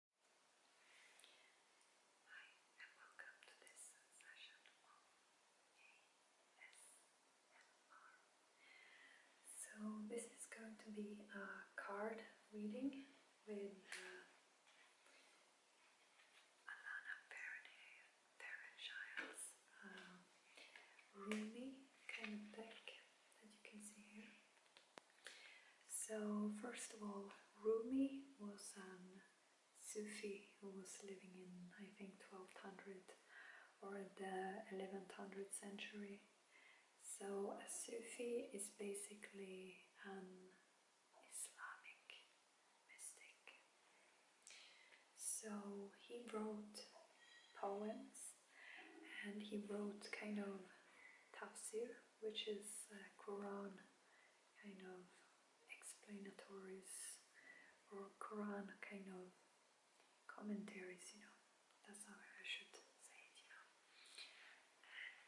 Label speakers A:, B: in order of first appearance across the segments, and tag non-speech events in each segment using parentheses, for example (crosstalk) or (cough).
A: Hi and welcome to this session on ASMR. So this is going to be a card reading with uh, Alana Fairchild's uh, um, Rumi kind of deck that you can see here. So, first of all, Rumi was a Sufi who was living in, I think, 1200 or the 1100th century. So, a Sufi is basically an Islamic mystic. So, he wrote poems and he wrote kind of tafsir which is uh, Quran kind of explanatories or Quran kind of commentaries, you know, that's how I should say it, you know.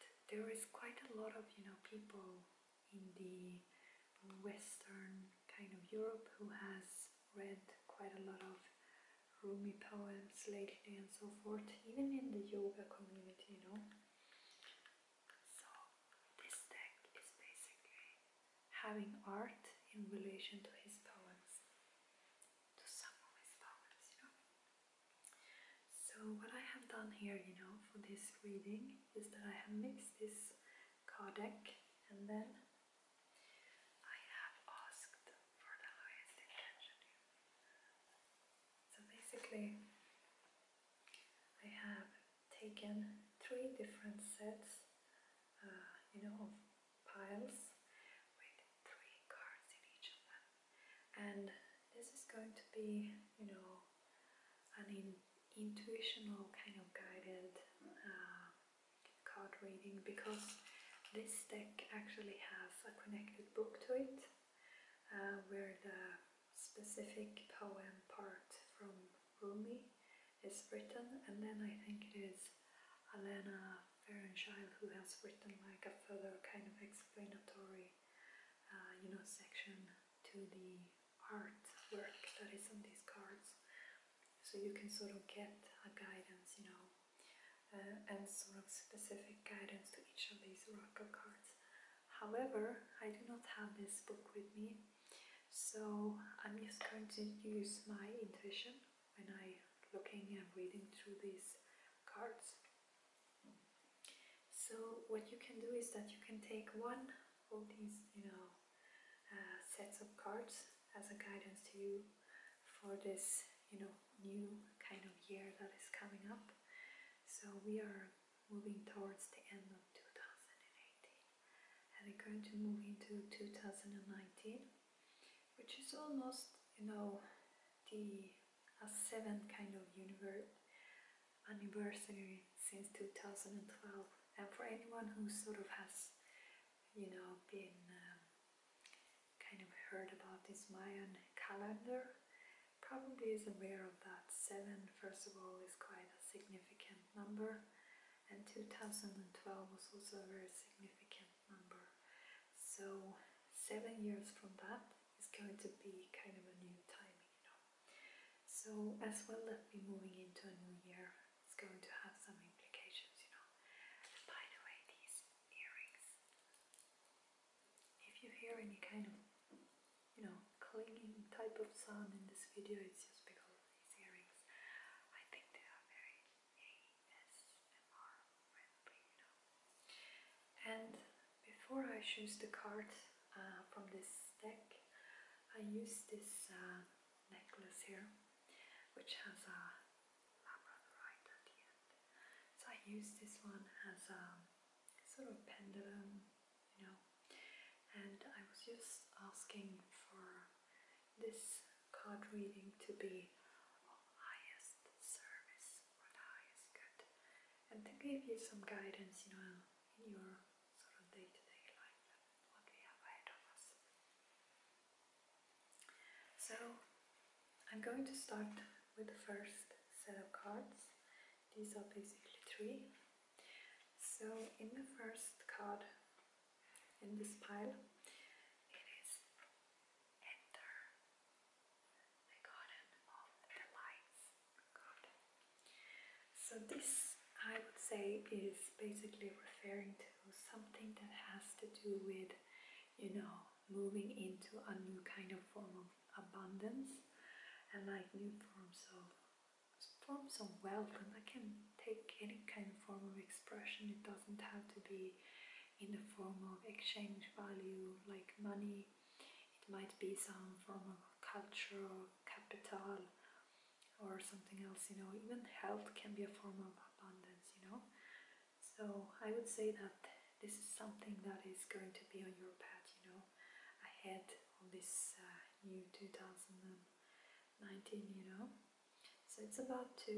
A: And there is quite a lot of, you know, people in the Western kind of Europe who has read quite a lot of Rumi poems lately and so forth, even in the yoga community, you know. So this deck is basically having art in relation to his poems, to some of his poems, you know. So what I have done here, you know, for this reading is that I have mixed this card deck and then I have asked for the highest intention. So basically I have taken three different sets uh, you know, of piles with three cards in each of them. And this is going to be, you know, an intuitive kind of guided uh, card reading because this deck actually has a connected book to it uh, where the specific poem part from Rumi is written, and then I think it is Alena Ferenchild who has written like a further kind of explanatory, uh, you know, section to the artwork that is on these cards, so you can sort of get a guidance, you know, uh, and sort of specific guidance to each of these oracle cards. However, I do not have this book with me, so I'm just going to use my intuition when I looking and reading through these cards. So what you can do is that you can take one of these, you know, uh, sets of cards as a guidance to you for this you know new kind of year that is coming up. So we are moving towards the end of 2018 and we're going to move into 2019 which is almost you know the seventh kind of universe anniversary since 2012 and for anyone who sort of has you know been um, kind of heard about this Mayan calendar, probably is aware of that. 7, first of all, is quite a significant number, and 2012 was also a very significant number. So, seven years from that is going to be kind of a new timing, you know. So, as well as be moving into a new year, it's going to have some implications, you know. by the way, these earrings if you hear any kind of, you know, clinging type of sound in this video, it's just because of these earrings. I think they are very ASMR And before I choose the card uh, from this deck, I use this uh, necklace here, which has a labradorite at so I use this one as a sort of pendulum, you know, and I was just asking for this card reading to be of highest service or the highest good and to give you some guidance, you know, in your sort of day to day life and what we have ahead of us. So I'm going to start with the first set of cards. These are basically three. So in the first card in this pile, it is Enter the Garden of the So this, I would say, is basically referring to something that has to do with, you know, moving into a new kind of form of abundance and like new forms of forms of wealth and I can take any kind of form of expression. It doesn't have to be in the form of exchange value like money. It might be some form of culture or capital or something else, you know. Even health can be a form of abundance, you know. So I would say that this is something that is going to be on your path, you know, ahead on this uh, new 2019, you know. So it's about to,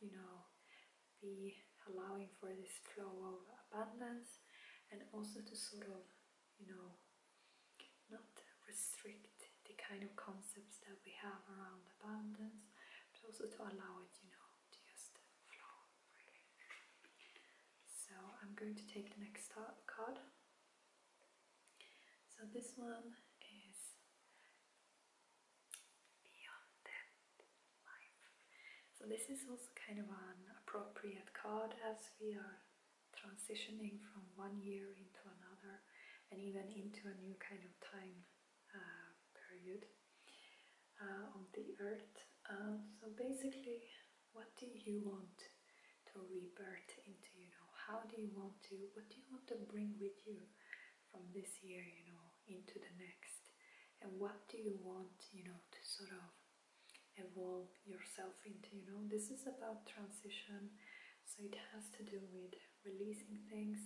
A: you know, be allowing for this flow of abundance and also to sort of, you know, not restrict the kind of concepts that we have around abundance, but also to allow it, you know, to just flow. So I'm going to take the next card. So this one is Beyond Life. So this is also kind of an appropriate card as we are transitioning from one year into another and even into a new kind of time uh, period. Uh, On the earth. Um, so basically, what do you want to rebirth into? You know, how do you want to? What do you want to bring with you from this year? You know, into the next, and what do you want? You know, to sort of evolve yourself into. You know, this is about transition, so it has to do with releasing things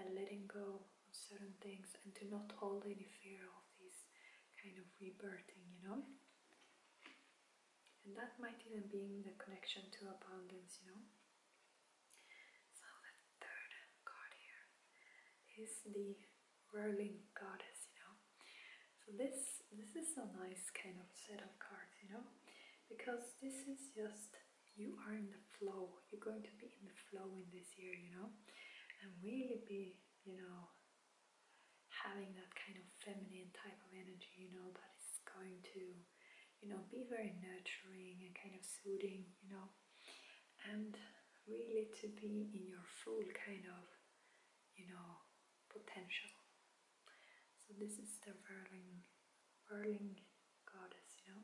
A: and letting go certain things and to not hold any fear of this kind of rebirthing, you know. And that might even be the connection to abundance, you know. So the third card here is the whirling goddess, you know. So this this is a nice kind of set of cards, you know, because this is just you are in the flow you're going to be in the flow in this year, you know, and really be, you know, having that kind of feminine type of energy, you know, that is going to, you know, be very nurturing and kind of soothing, you know, and really to be in your full kind of, you know, potential. So this is the whirling, whirling goddess, you know,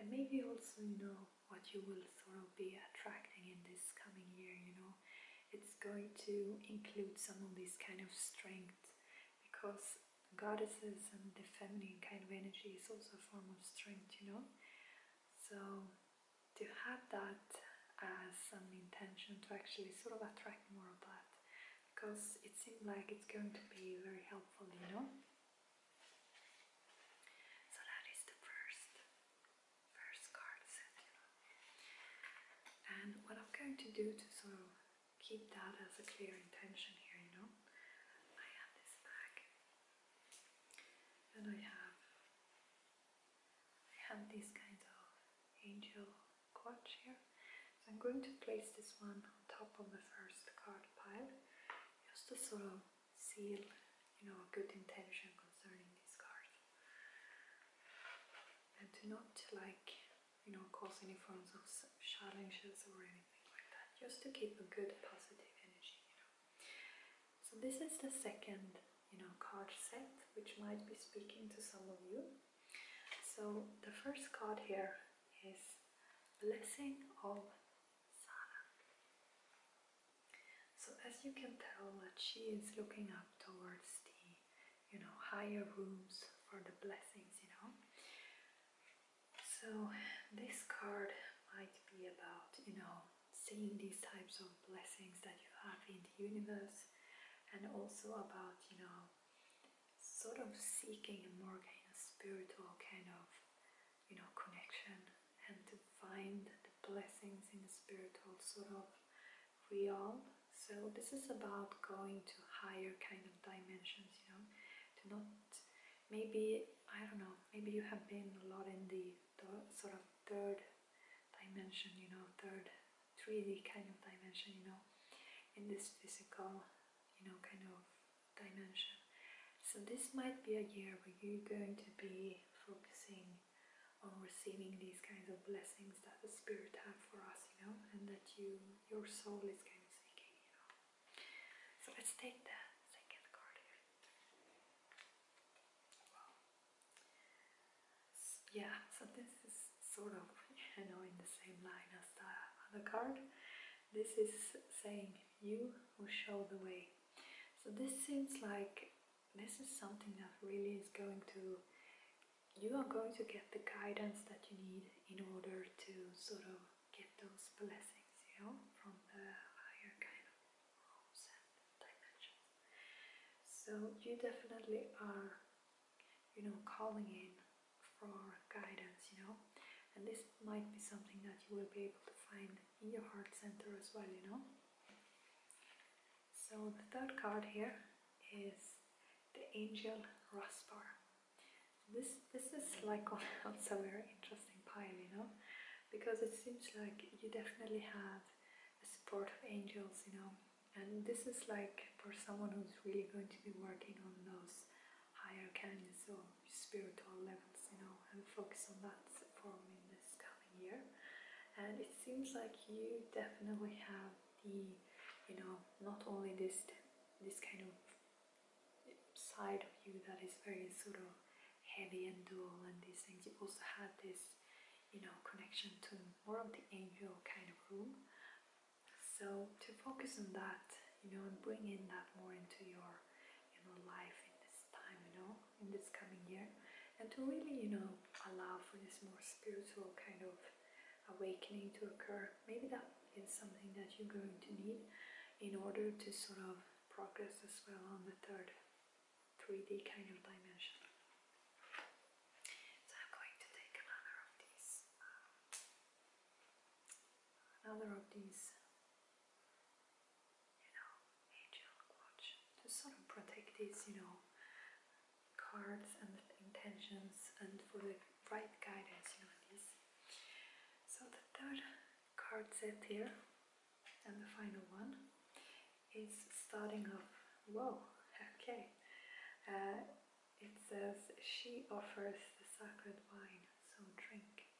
A: and maybe also, you know, what you will sort of be attracting in this coming year, you know. It's going to include some of these kind of strength because goddesses and the feminine kind of energy is also a form of strength, you know. So to have that as an intention to actually sort of attract more of that because it seems like it's going to be very helpful, you know. So that is the first first card set. And what I'm going to do to sort of keep that as a clear intention here, you know, I have this bag, and I have I have these kinds of angel cards here. So I'm going to place this one on top of the first card pile, just to sort of seal, you know, a good intention concerning this card. And to not like, you know, cause any forms of challenges or anything like that. Just to keep a good positive energy, you know. So this is the second, you know, card set, which might be speaking to some of you. So the first card here is Blessing of so as you can tell that she is looking up towards the, you know, higher rooms for the blessings, you know. So this card might be about, you know, seeing these types of blessings that you have in the universe and also about, you know, sort of seeking a more kind of spiritual kind of you know, connection and to find the blessings in the spiritual sort of realm. So this is about going to higher kind of dimensions, you know, to not maybe I don't know, maybe you have been a lot in the, sort of third dimension, you know, third 3D kind of dimension, you know, in this physical, you know, kind of dimension. So this might be a year where you're going to be focusing on receiving these kinds of blessings that the Spirit have for us, you know, and that you your soul is kind of seeking, you know. So let's take that second card yeah, so this is sort of, you (laughs) know, in the same line as the other card. This is saying, you who show the way so this seems like this is something that really is going to you are going to get the guidance that you need in order to sort of get those blessings, you know, from the higher kind of realms and dimensions. So you definitely are, you know, calling in for guidance, you know, and this might be something that you will be able to find your heart center as well, you know. So the third card here is the Angel Raspar. This this is like also (laughs) a very interesting pile, you know, because it seems like you definitely have a support of angels, you know, and this is like for someone who's really going to be working on those higher canyons so spiritual levels, you know, and focus on that for me this coming year. And it seems like you definitely have the, you know, not only this this kind of side of you that is very sort of heavy and dull and these things, you also have this, you know, connection to more of the angel kind of room. So to focus on that, you know, and bring in that more into your, you know, life in this time, you know, in this coming year, and to really, you know, allow for this more spiritual kind of awakening to occur. Maybe that is something that you're going to need in order to sort of progress as well on the third 3D kind of dimension. So I'm going to take another of these, um, another of these you know, angel watch to sort of protect these, you know, cards and intentions and for the right guidance, you know, these. So the third card set here and the final one is starting off, whoa, okay. Uh, it says, she offers the sacred wine so drink.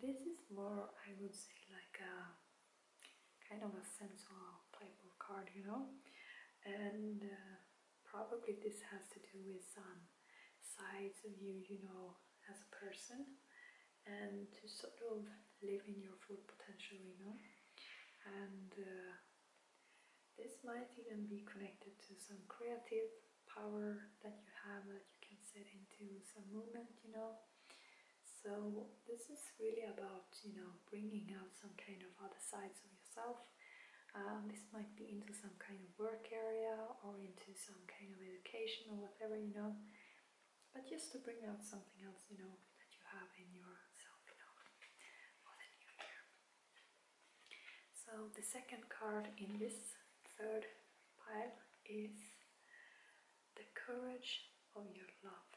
A: this is more, I would say, like a kind of a sensual type of card, you know, and uh, probably this has to do with some sides of you, you know, as a person, and to sort of live in your full potential, you know, and. Uh, this might even be connected to some creative power that you have can set into some movement, you know. So this is really about, you know, bringing out some kind of other sides of yourself. Um, this might be into some kind of work area or into some kind of education or whatever, you know. But just to bring out something else, you know, that you have in yourself, you know, So the second card in this third pile is the courage of your love.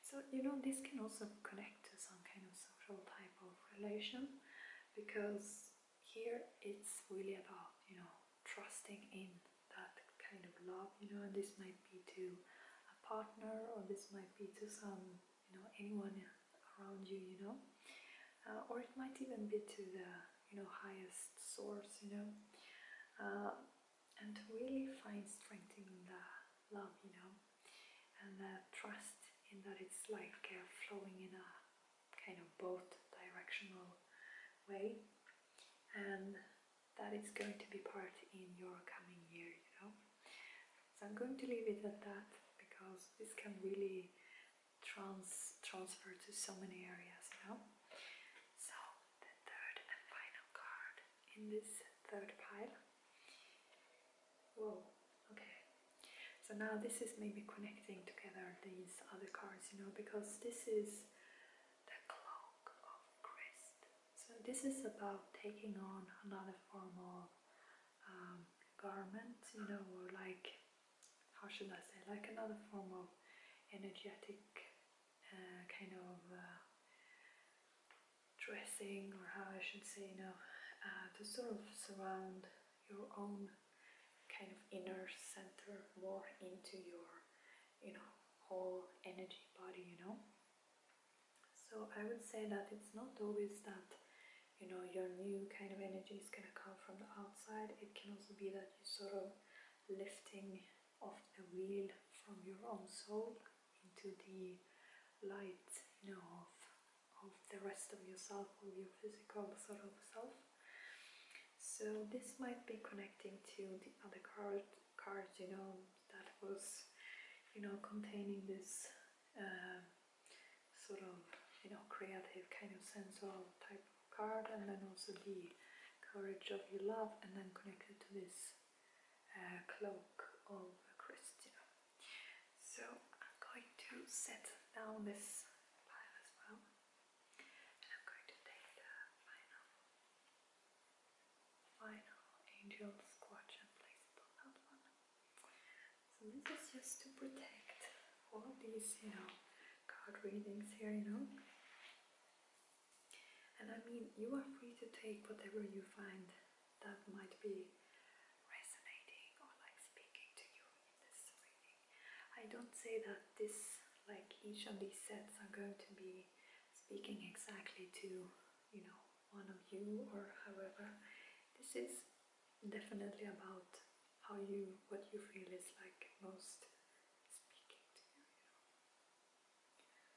A: So, you know, this can also connect to some kind of social type of relation because here it's really about, you know, trusting in that kind of love, you know, and this might be to a partner or this might be to some, you know, anyone around you, you know, uh, or it might even be to the you know highest source you know uh, and really find strength in the love you know and the trust in that it's life care uh, flowing in a kind of both directional way and that it's going to be part in your coming year you know so I'm going to leave it at that because this can really trans transfer to so many areas, you know. So the third and final card in this third pile. Whoa, okay. So now this is maybe connecting together these other cards, you know, because this is the cloak of Christ. So this is about taking on another form of um, garment, you know, or like how should I say, like another form of energetic uh, kind of uh, dressing, or how I should say, you know, uh, to sort of surround your own kind of inner center more into your, you know, whole energy body, you know. So I would say that it's not always that you know your new kind of energy is going to come from the outside it can also be that you sort of lifting of the wheel from your own soul into the light, of, of the rest of yourself, of your physical sort of self. So this might be connecting to the other card, card you know, that was, you know, containing this uh, sort of, you know, creative kind of sensual type card and then also the courage of your love and then connected to this uh, cloak of Christina. So I'm going to set down this pile as well and I'm going to take the final, final angel's squatch and place it on that one. So this is just to protect all these, you know, card readings here, you know. And I mean, you are free to take whatever you find that might be resonating or like speaking to you in this reading. I don't say that this, like each of these sets are going to be speaking exactly to, you know, one of you or however. This is definitely about how you what you feel is like most speaking to you, you know.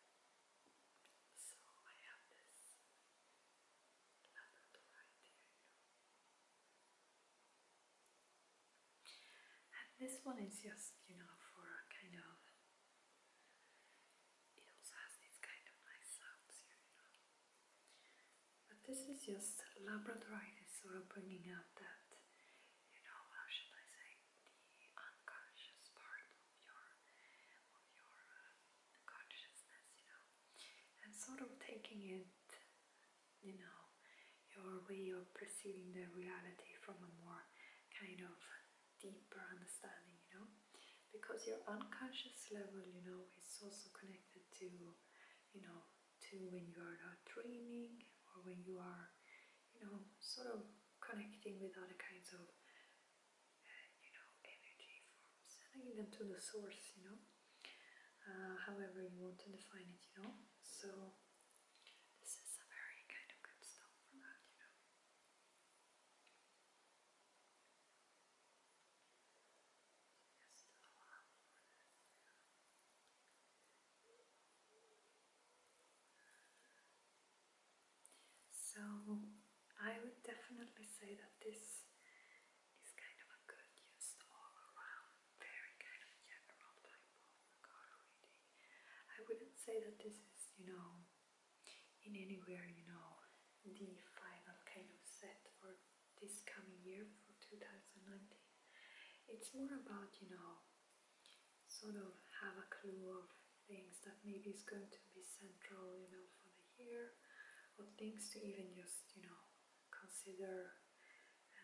A: So I have this labradorite here, And this one is just, you know, for a kind of it also has these kind of nice sounds here, you know. But this is just labradoritis, sort of bringing out that you know how should I say the unconscious part of your of your uh, consciousness, you know, and sort of taking it, you know, your way of perceiving the reality from a more kind of deeper understanding, you know, because your unconscious level, you know, is also connected to, you know, to when you are not dreaming or when you are, you know, sort of connecting with other kinds of, uh, you know, energy forms, sending them to the source, you know, uh, however you want to define it, you know. So this is a very kind of good stuff for that, you know. So I would definitely say that this is kind of a good, used all around, very kind of general type of card reading. I wouldn't say that this is, you know, in anywhere, you know, the final kind of set for this coming year for 2019. It's more about, you know, sort of have a clue of things that maybe is going to be central, you know, for the year, or things to even just, you know, consider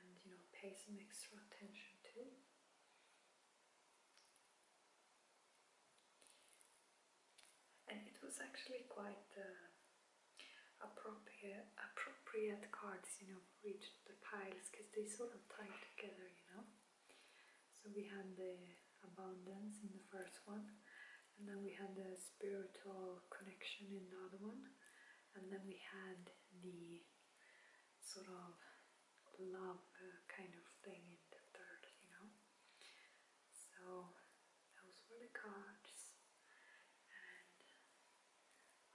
A: and, you know, pay some extra attention to. And it was actually quite uh, appropriate cards, you know, reach the piles because they sort of tie together, you know. So we had the abundance in the first one, and then we had the spiritual connection in the other one, and then we had the sort of love uh, kind of thing in the third, you know. So those were the cards,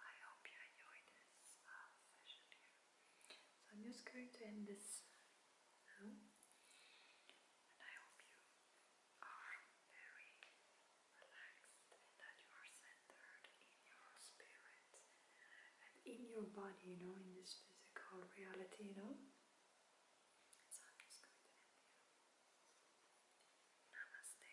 A: I hope you enjoy this uh, session here. So I'm just going to end this now. And I hope you are very relaxed and that you are centered in your spirit and in your body, you know, in this physical reality, you know. So just going to end here. Namaste.